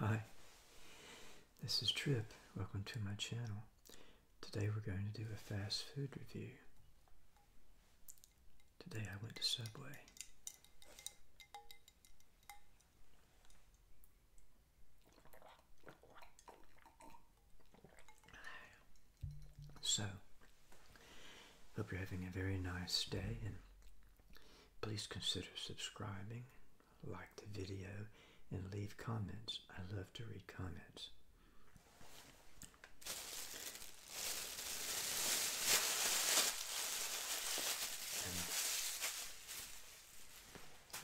Hi, this is Trip. Welcome to my channel. Today we're going to do a fast food review. Today I went to Subway. So, hope you're having a very nice day Please consider subscribing, like the video, and leave comments. I love to read comments.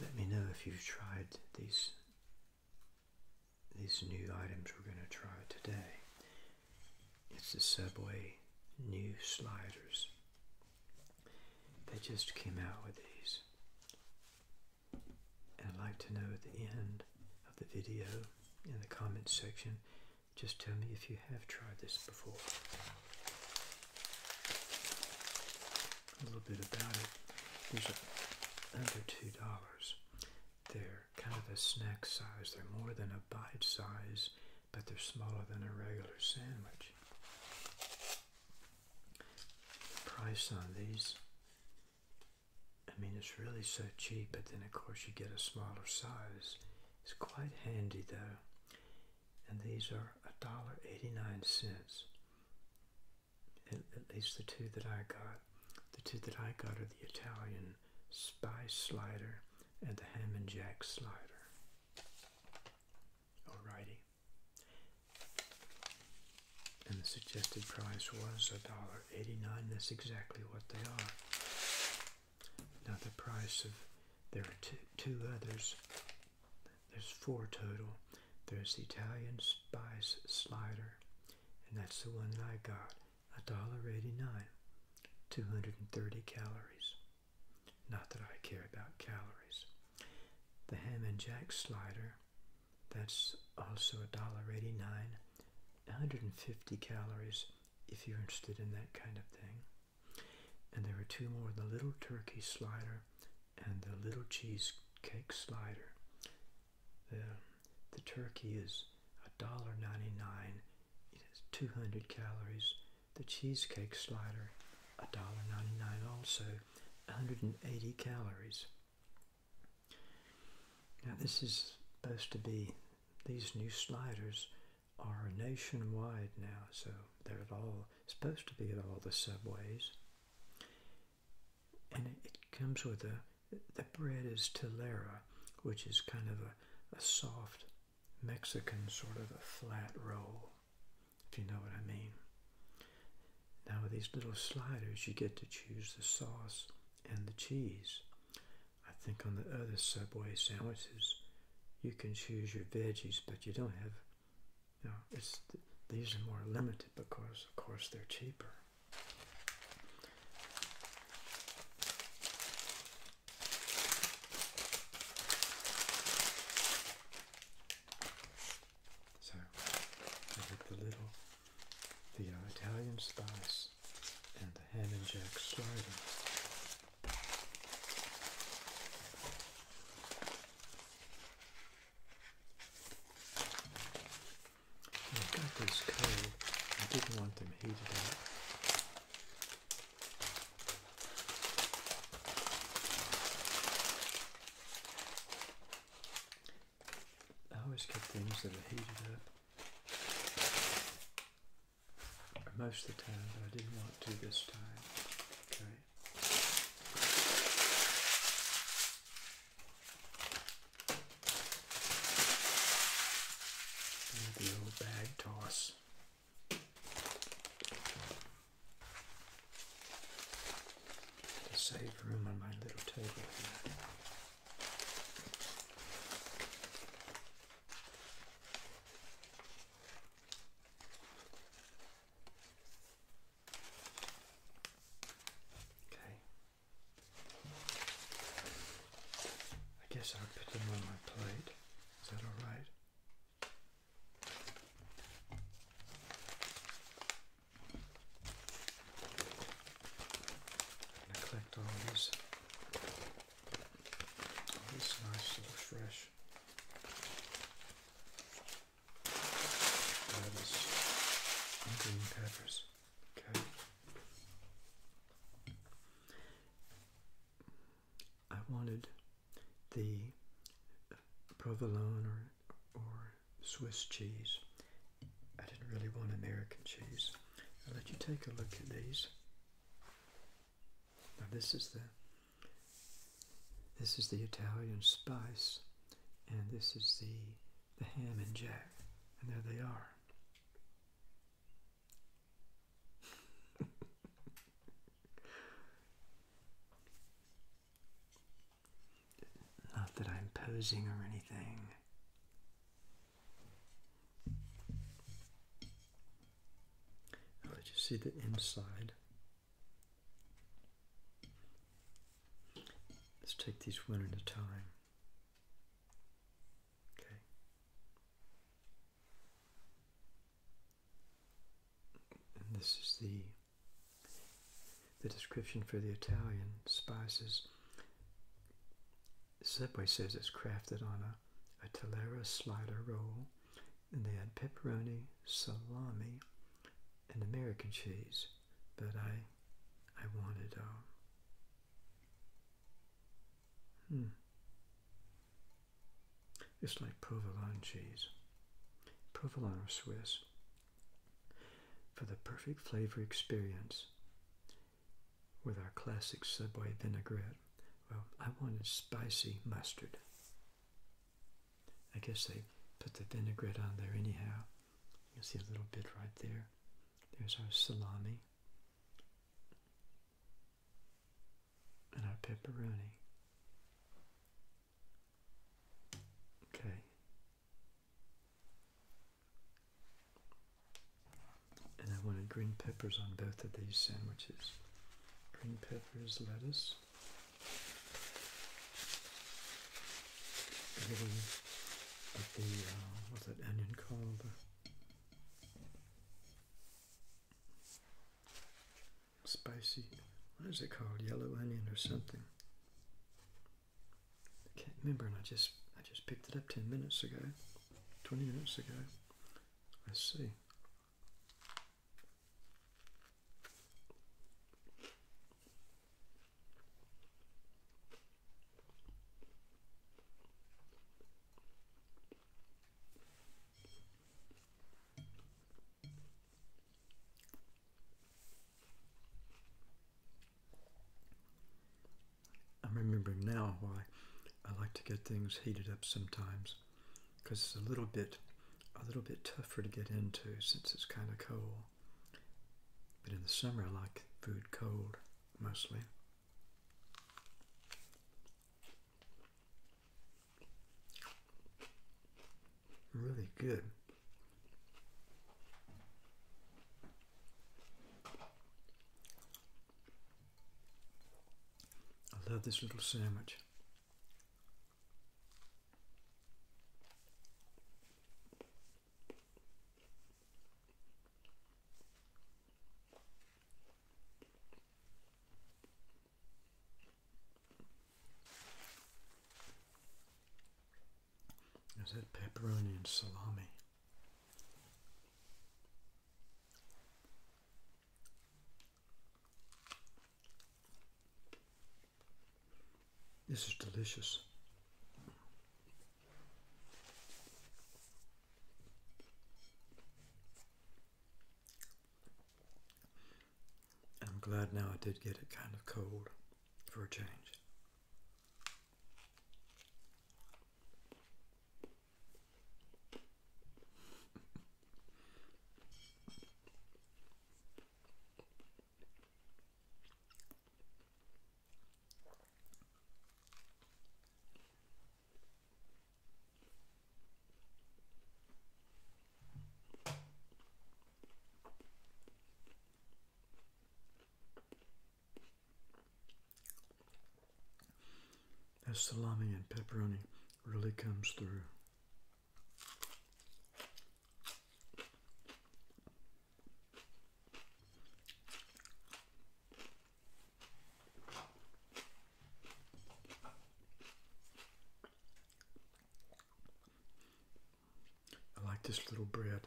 let me know if you've tried these these new items we're going to try today. It's the Subway new sliders. They just came out with these. And I'd like to know at the end of the video in the comments section, just tell me if you have tried this before. A little bit about it. These are under two dollars. They're kind of a snack size. They're more than a bite size but they're smaller than a regular sandwich. price on these, I mean, it's really so cheap, but then of course you get a smaller size. It's quite handy though. And these are a dollar eighty-nine cents. at least the two that I got. The two that I got are the Italian spice slider and the ham and jack slider. Alrighty. And the suggested price was $1.89. That's exactly what they are. Now the price of, there are two others. There's four total. There's the Italian Spice Slider, and that's the one that I got. $1.89, 230 calories. Not that I care about calories. The ham and jack slider, that's also $1.89, 150 calories if you're interested in that kind of thing. And there are two more, the little turkey slider and the little cheesecake slider. The, the turkey is $1.99 it has 200 calories. The cheesecake slider, $1.99 also, 180 calories. Now this is supposed to be, these new sliders are nationwide now, so they're at all, supposed to be at all the subways. And it comes with a, the bread is telera, which is kind of a, a soft Mexican sort of a flat roll, if you know what I mean. Now with these little sliders, you get to choose the sauce and the cheese. I think on the other Subway sandwiches, you can choose your veggies, but you don't have, you it's, these are more limited because, of course, they're cheaper. So I did the little, the Italian spice and the ham and jack slider. I got these cold. I didn't want them heated up. I always get things that are heated up most of the time, but I didn't want to this time. The old bag toss this. To save room on my little table Okay. I guess I'll put them on my plate. Is that alright? i collect all these, all these nice fresh lettuce and green peppers. Okay. I wanted the provolone or, or Swiss cheese. I didn't really want American cheese. I'll let you take a look at these. Now this is the this is the Italian spice, and this is the the ham and jack, and there they are. Not that I'm posing or anything. Oh, I'll just see the inside. Let's take these one at a time. Okay. And this is the the description for the Italian spices. Subway says it's crafted on a, a Talera slider roll, and they had pepperoni, salami, and American cheese. But I, I wanted um, Hmm. It's like provolone cheese. Provolone or Swiss. For the perfect flavor experience with our classic Subway vinaigrette, well, I wanted spicy mustard. I guess they put the vinaigrette on there anyhow. You will see a little bit right there. There's our salami and our pepperoni. Okay. And I wanted green peppers on both of these sandwiches. Green peppers, lettuce, a the, uh, what's that onion called? spicy, what is it called? Yellow onion or something. I can't remember and I just I just picked it up ten minutes ago. Twenty minutes ago. Let's see. I'm remembering now why I like to get things heated up sometimes because it's a little bit a little bit tougher to get into since it's kind of cold. But in the summer, I like food cold mostly. Really good. I love this little sandwich. Is that pepperoni and salami? This is delicious. I'm glad now I did get it kind of cold for a change. That salami and pepperoni really comes through. I like this little bread.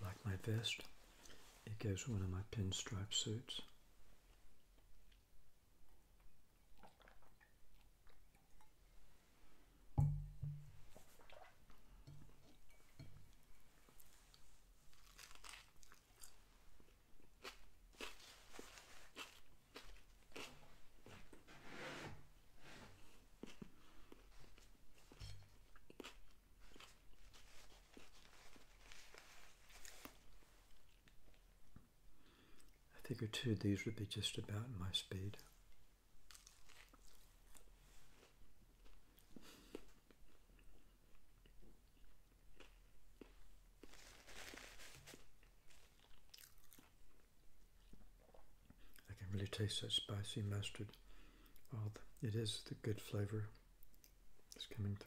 Like my vest, it goes one of my pinstripe suits. I figure two of these would be just about my speed. I can really taste that spicy mustard. Oh, it is the good flavor that's coming through.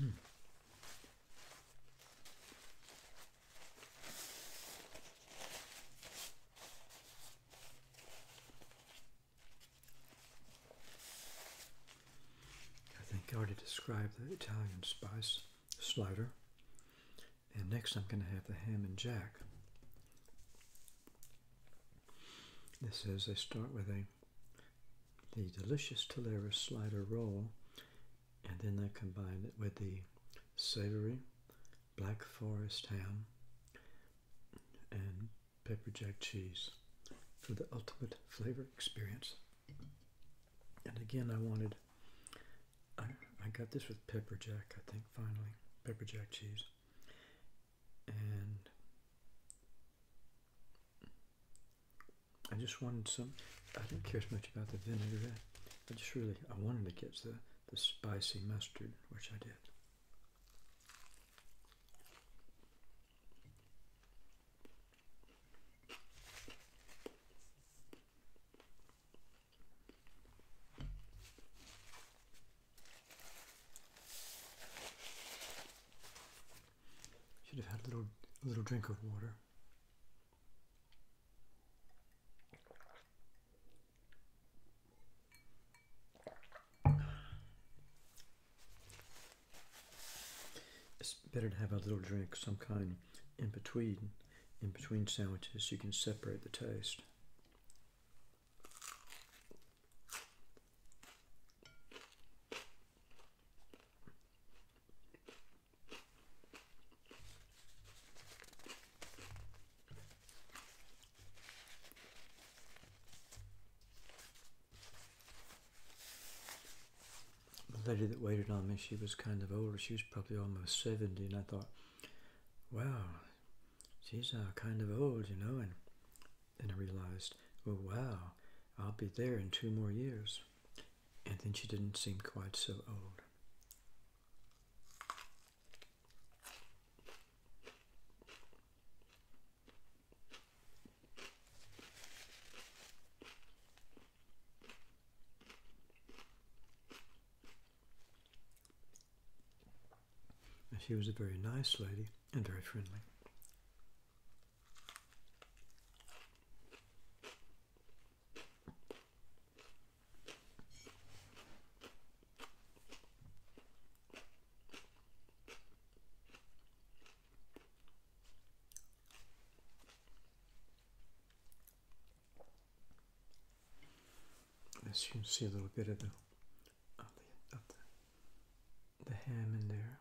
Mm. I think I already described the Italian spice slider. And next I'm going to have the ham and jack. This is they start with a the delicious Tolera slider roll, and then they combine it with the savory black forest ham and pepper jack cheese for the ultimate flavor experience. And again, I wanted I, I got this with pepper jack, I think, finally. Pepper jack cheese. And I just wanted some, I didn't care as much about the vinaigrette. I just really, I wanted to get the, the spicy mustard, which I did. Should have had a little a little drink of water. It's better to have a little drink, some kind in between in between sandwiches you can separate the taste. The lady that waited on me, she was kind of older. She was probably almost 70, and I thought, wow, she's uh, kind of old, you know. And then I realized, oh wow, I'll be there in two more years. And then she didn't seem quite so old. And she was a very nice lady and very friendly. As you can see a little bit of the the ham in there.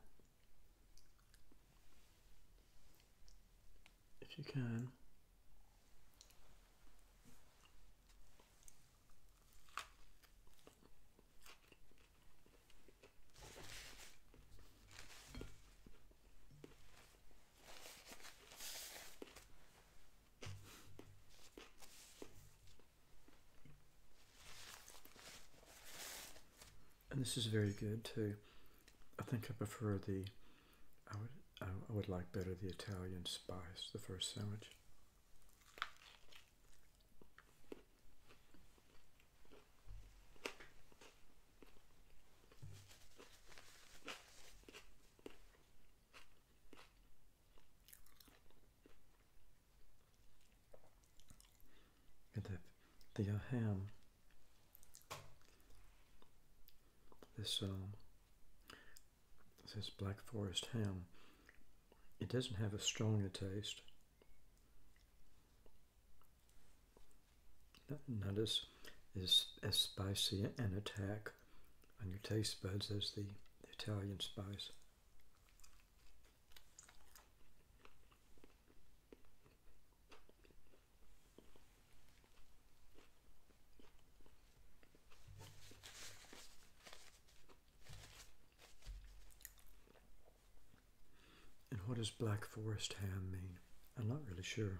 If you can. And this is very good too. I think I prefer the, I would, I would like better the Italian spice, the first sandwich. Vänta, det jag This, um, this Black Forest ham, it doesn't have a stronger taste not as, as, as spicy an attack on your taste buds as the, the Italian spice. And what does Black Forest ham mean? I'm not really sure.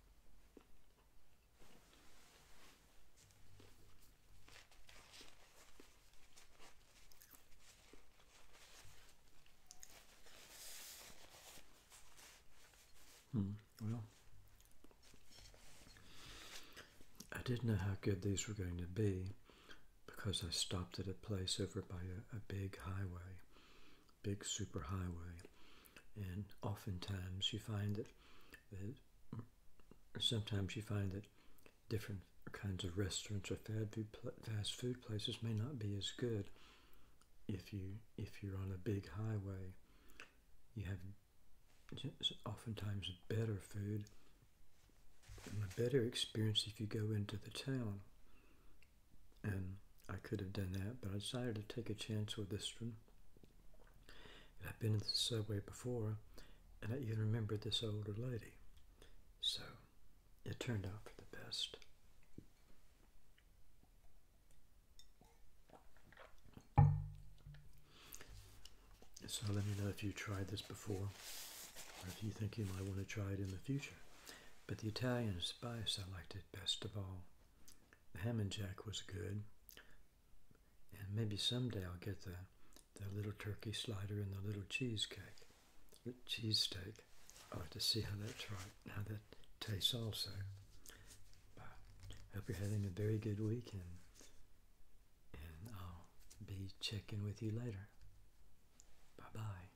Hmm, well, I didn't know how good these were going to be because I stopped at a place over by a, big highway, big super highway and oftentimes you find that, sometimes you find that different kinds of restaurants or fast food places may not be as good if you if you're on a big highway. You have oftentimes better food and a better experience if you go into the town and I could have done that, but I decided to take a chance with this one. I've been in the subway before, and I even remember this older lady. So it turned out for the best. So let me know if you tried this before, or if you think you might want to try it in the future. But the Italian spice I liked it best of all. The ham and jack was good. And maybe someday I'll get the, the little turkey slider and the little cheesecake, the cheesesteak. I'll have to see how that, try, how that tastes also. But hope you're having a very good weekend, and I'll be checking with you later. Bye-bye.